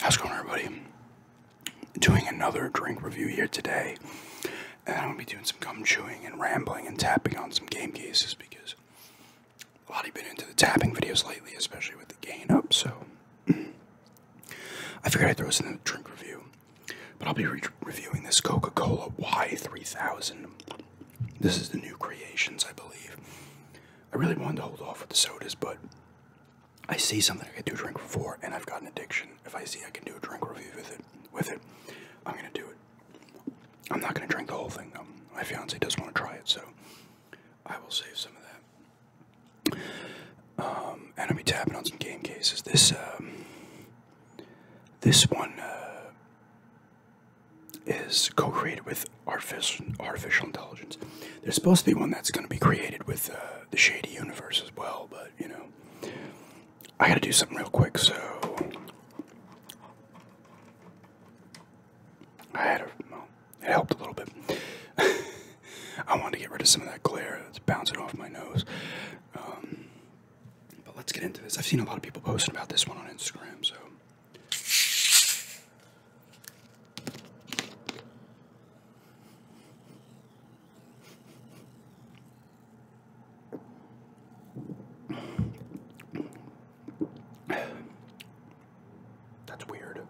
How's it going, everybody? Doing another drink review here today, and I'm gonna be doing some gum chewing and rambling and tapping on some game cases because a lot have been into the tapping videos lately, especially with the gain up. So I figured I'd throw this in the drink review, but I'll be reviewing this Coca-Cola Y3000. This is the new creations, I believe. I really wanted to hold off with the sodas, but I see something I can do a drink for, and I've got an addiction. If I see I can do a drink review with it, with it, I'm gonna do it. I'm not gonna drink the whole thing though. My fiance does not want to try it, so I will save some of that. Um, and I'll be tapping on some game cases. This um, this one. Uh, is co-created with artificial intelligence. There's supposed to be one that's going to be created with uh, the Shady Universe as well, but you know, I got to do something real quick. So I had a well, it helped a little bit. I wanted to get rid of some of that glare that's bouncing off my nose. Um, but let's get into this. I've seen a lot of people posting about this one on Instagram, so that's weird.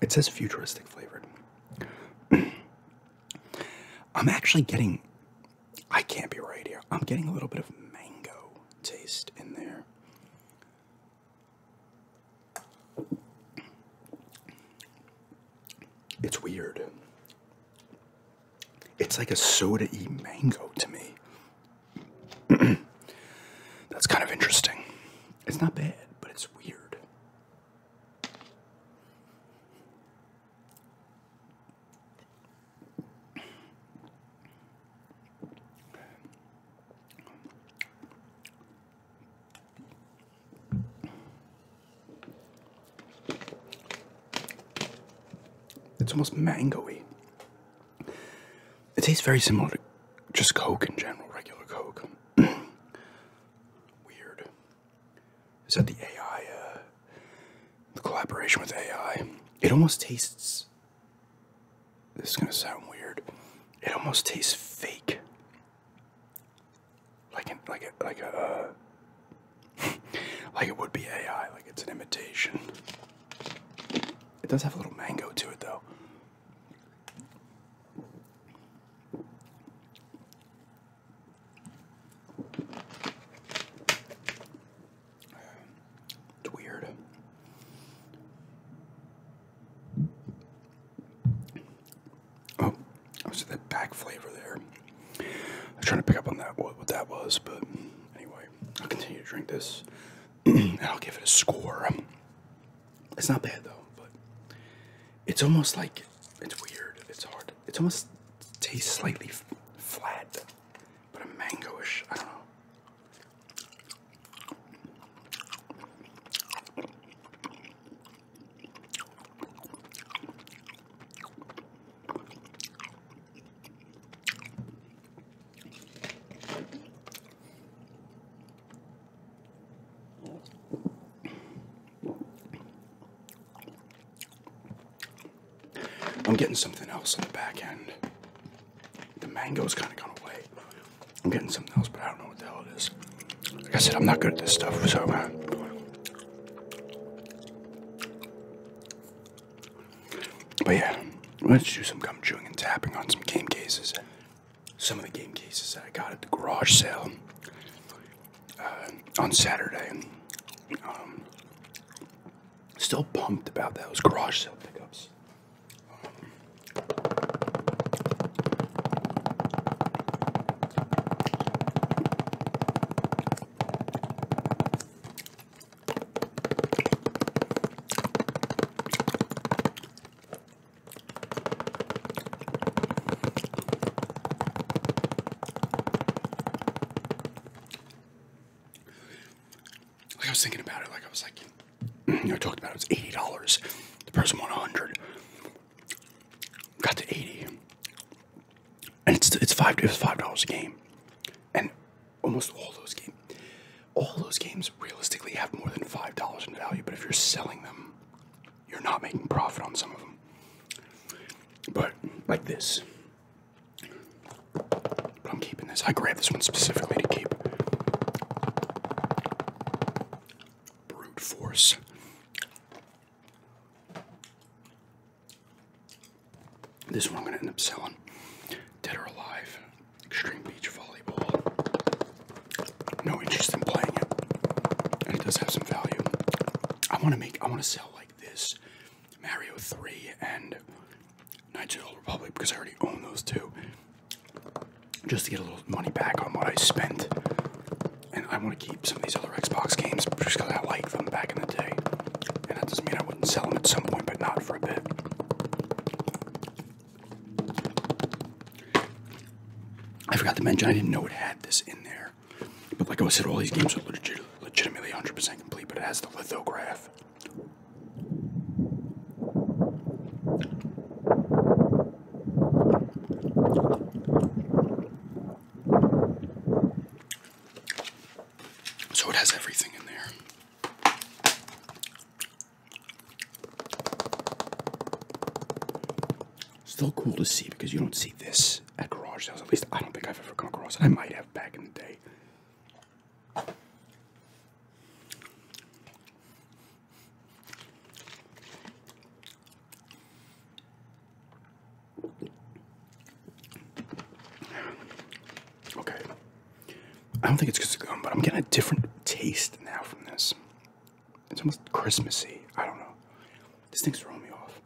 It says futuristic flavored. I'm actually getting I can't be right here. I'm getting a little bit of mango taste in there. It's weird. It's like a soda y mango to me. That's kind of interesting. It's not bad, but it's weird. It's almost mangoey. It tastes very similar to just Coke in general, regular Coke. Weird is that the AI, the uh, collaboration with AI, it almost tastes. This is gonna sound weird. It almost tastes fake. Like an, like a like a uh, like it would be AI. Like it's an imitation. It does have a little mango to it though. It's weird. Oh, I see that back flavor there. I was trying to pick up on that what, what that was, but anyway, I'll continue to drink this, and I'll give it a score. It's not bad though, but it's almost like it's weird. It's hard. It almost tastes slightly flat, but a mangoish. I don't know. I'm getting something else on the back end. The mango's kind of gone away. I'm getting something else, but I don't know what the hell it is. Like I said, I'm not good at this stuff, so uh, But yeah, let's do some gum chewing and tapping on some game cases. Some of the game cases that I got at the garage sale. Uh, on Saturday. Um, still pumped about those garage sale pickups. Like I was thinking about it, like I was like, you know, I talked about it, was $80. The person won 100 Got to 80 And it's, it's five, it $5 a game. And almost all those games, all those games realistically have more than $5 in value, but if you're selling them, you're not making profit on some of them. But like this. But I'm keeping this. I grab this one specifically to keep. Brute force. This one I'm gonna end up selling. Dead or alive. Extreme beach volleyball. No interest in playing it. And it does have some value. I wanna make I wanna sell like this, Mario 3 and Knights Old Republic, because I already own those two, just to get a little money back on what I spent. And I want to keep some of these other Xbox games just because I like them back in the day. And that doesn't mean I wouldn't sell them at some point, but not for a bit. I forgot to mention I didn't know it had this in there. But like I said, all these games are legitimately 100% complete, but it has the lithograph. So it has everything in there. Still cool to see because you don't see this at garage sales. At least I don't think I've ever come across it. I might have back in the day. Okay. I don't think it's because of gum, but I'm getting a different taste now from this. It's almost Christmassy. I don't know. This thing's throwing me off.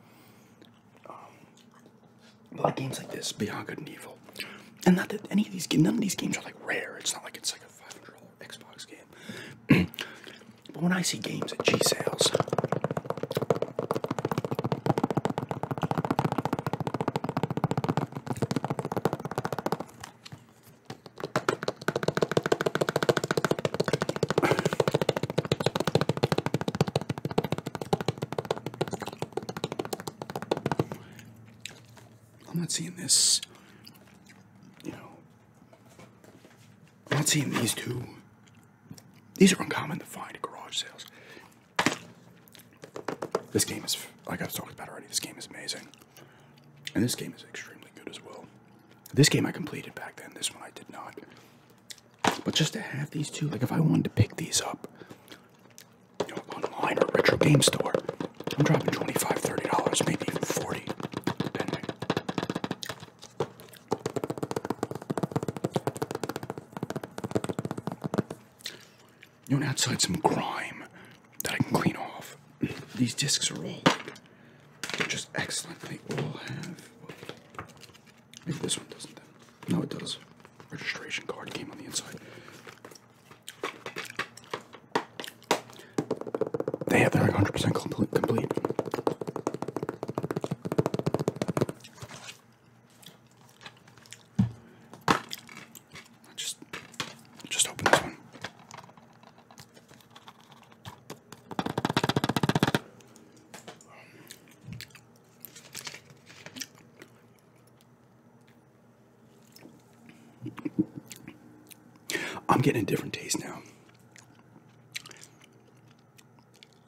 Um, like games like this, Beyond Good and Evil, and not that any of these none of these games are like rare. It's not like it's like a five hundred dollar Xbox game. but when I see games at G sales. I'm not seeing this, you know. I'm not seeing these two. These are uncommon to find at garage sales. This game is, like I was talked about already, this game is amazing. And this game is extremely good as well. This game I completed back then, this one I did not. But just to have these two, like if I wanted to pick these up you know, online or retro game store, I'm dropping 25 $30, maybe even 40 You know, outside some grime that I can clean off. These discs are all just excellently all have Maybe this one doesn't No, it does. Registration card came on the inside. They have their 100% complete. just, just open this one. I'm getting a different taste now.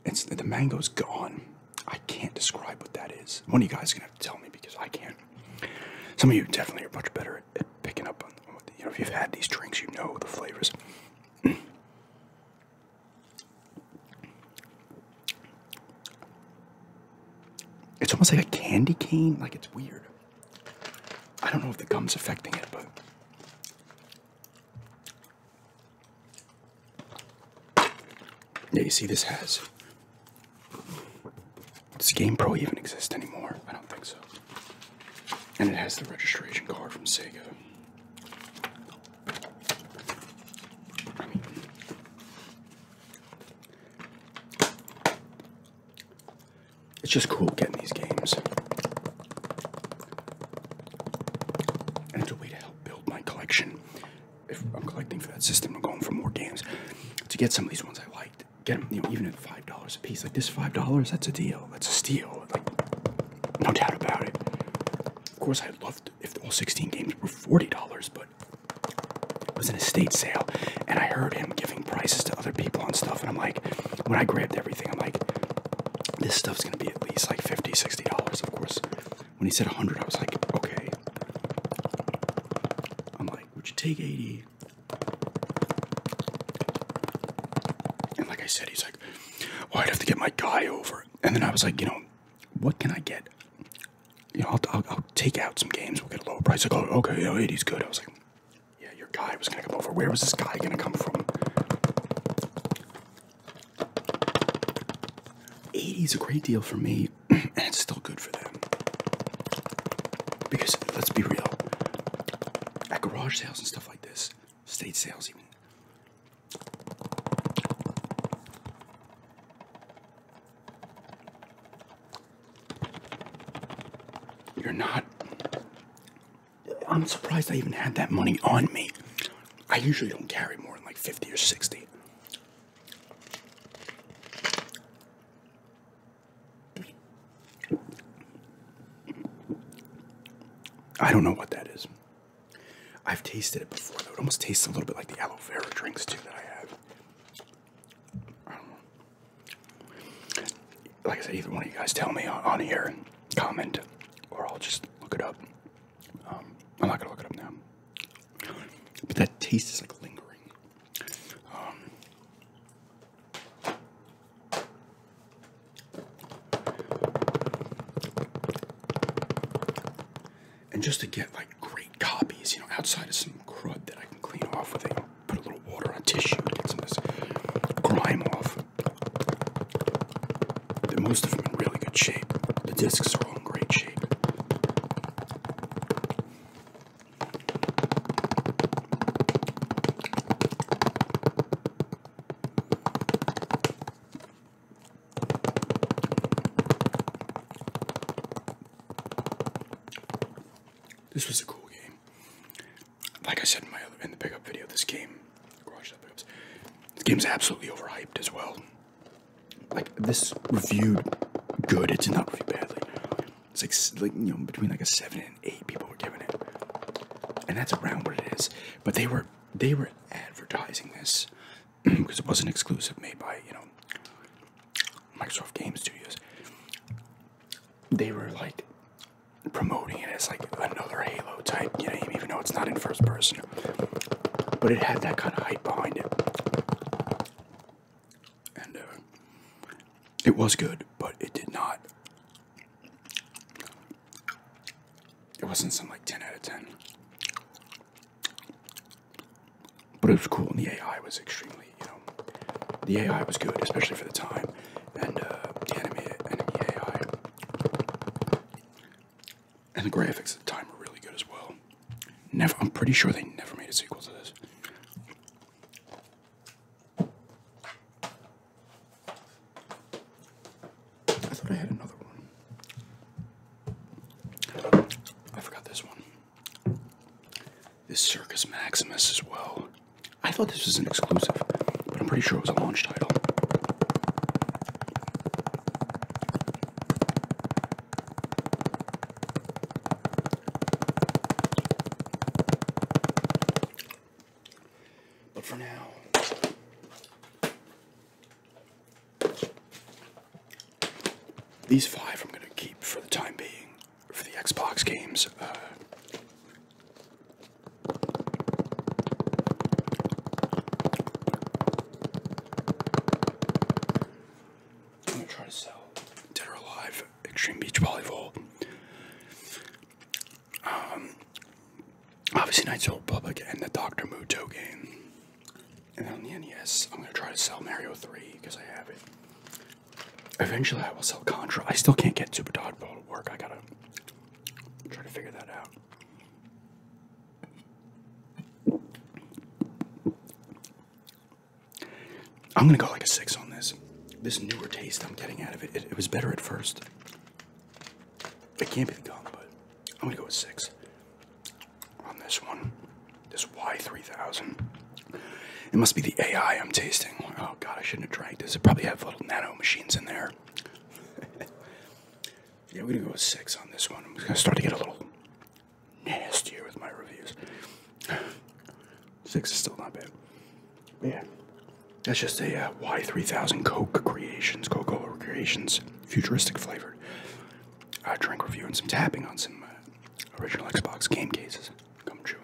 It's the mango's gone. I can't describe what that is. One of you guys is gonna have to tell me because I can't. Some of you definitely are much better at picking up on, you know, if you've had these drinks, you know the flavors. It's almost like a candy cane, like it's weird. I don't know if the gum's affecting it, but. Yeah, you see, this has. Does Game Pro even exist anymore? I don't think so. And it has the registration card from Sega. It's just cool getting these games. And it's a way to help build my collection. If I'm collecting for that system, I'm going for more games. To get some of these ones I liked, get them, you know, even at five dollars a piece. Like this five dollars, that's a deal. That's a steal. no doubt about it. Of course, i loved if all 16 games were $40, but it was an estate sale, and I heard him giving prices to other people and stuff, and I'm like, when I grabbed everything, I'm like, this stuff's gonna be at least like $50, $60, of course. When he said 100 I was like, okay. I'm like, would you take 80 and like I said, he's like, well, I'd have to get my guy over. And then I was like, you know, what can I get? You know, I'll, take out some games. We'll get a lower price. Like, oh, okay, eighty is good. I was like, yeah, your guy was gonna come over. Where was this guy gonna come from? Eighty is a great deal for me, and it's still good for them. Because let's be real, at garage sales and stuff like this, State sales even. You're not. I'm surprised I even had that money on me. I usually don't carry more than like 50 or 60. I don't know what that is. I've tasted it before though. It almost tastes a little bit like the aloe vera drinks too that I had. Like I said, either one of you guys tell me on, on here and comment, or I'll just look it up. Um, I'm not gonna look it up now. But that taste is like lingering. Um, and just to get like great copies, you know, outside of some crud that I can clean off with, I put a little water on tissue and get some of this grime off. But most of them in really good shape. The discs are all in great shape. This was a cool game. Like I said in my other, in the pickup video, this game, garage sale pickups, this game's absolutely overhyped as well. Like this reviewed good, It's not reviewed badly. It's like like you know between like a seven and eight people were giving it, and that's around what it is. But they were they were advertising this because it wasn't exclusive made by, you know, Microsoft Game Studios. They were like promoting it as like another Halo type game, you know, even though it's not in first person. But it had that kind of hype behind it. And uh, it was good, but it did not it wasn't some like 10 out of 10. But it was cool, and the AI was extremely, you know, the AI was good, especially for the time. And uh, the enemy, enemy AI and the graphics at the time were really good as well. Never, I'm pretty sure they never made a sequel to this. I thought I had another one. I forgot this one. This Circus Maximus as well. I thought this was an exclusive, but I'm pretty sure it was a launch title. But for now, these five I'm going to keep for the time being for the Xbox games. Uh, I'm going to try to sell Dead Alive Extreme Beach Volleyball. Um, obviously, Knights Old Public and the Dr. Muto game. And on the NES, I'm gonna try to sell Mario 3 because I have it. Eventually, I will sell Contra. I still can't get Super Dodgeball to work. I gotta try to figure that out. I'm gonna go like a six on this. This newer taste I'm getting out of it, it was better at first. It can't be the gun, but I'm gonna go with six on this one. This Y3000. It must be the AI I'm tasting. Oh god, I shouldn't have drank this. It probably have little nano machines in there. yeah, we're gonna go with six on this one. I'm gonna start to get a little nastier with my reviews. six is still not bad. yeah, that's just a uh, Y 3000 Coke Creations, Cola Creations, futuristic flavored uh, drink review and some tapping on some uh, original Xbox game cases. Come true.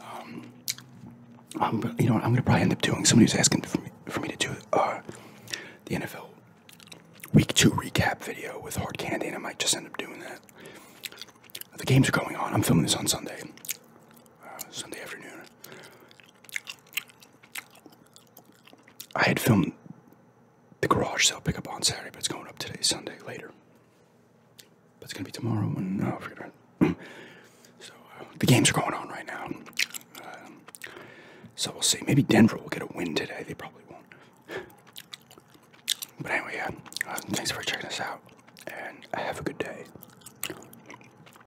Um, you know, what? I'm gonna probably end up doing. Somebody was asking for me, to do uh, the NFL Week Two recap video with hard candy, and I might just end up doing that. The games are going on. I'm filming this on Sunday, Sunday afternoon. I had filmed the garage sale pickup on Saturday, but it's going up today, Sunday, later. But it's going to be tomorrow. When, no, oh, I forget. so uh, the games are going on right now. Um, so we'll see. Maybe Denver will get a win today. They probably won't. But anyway, yeah. Uh, thanks for checking us out. And have a good day.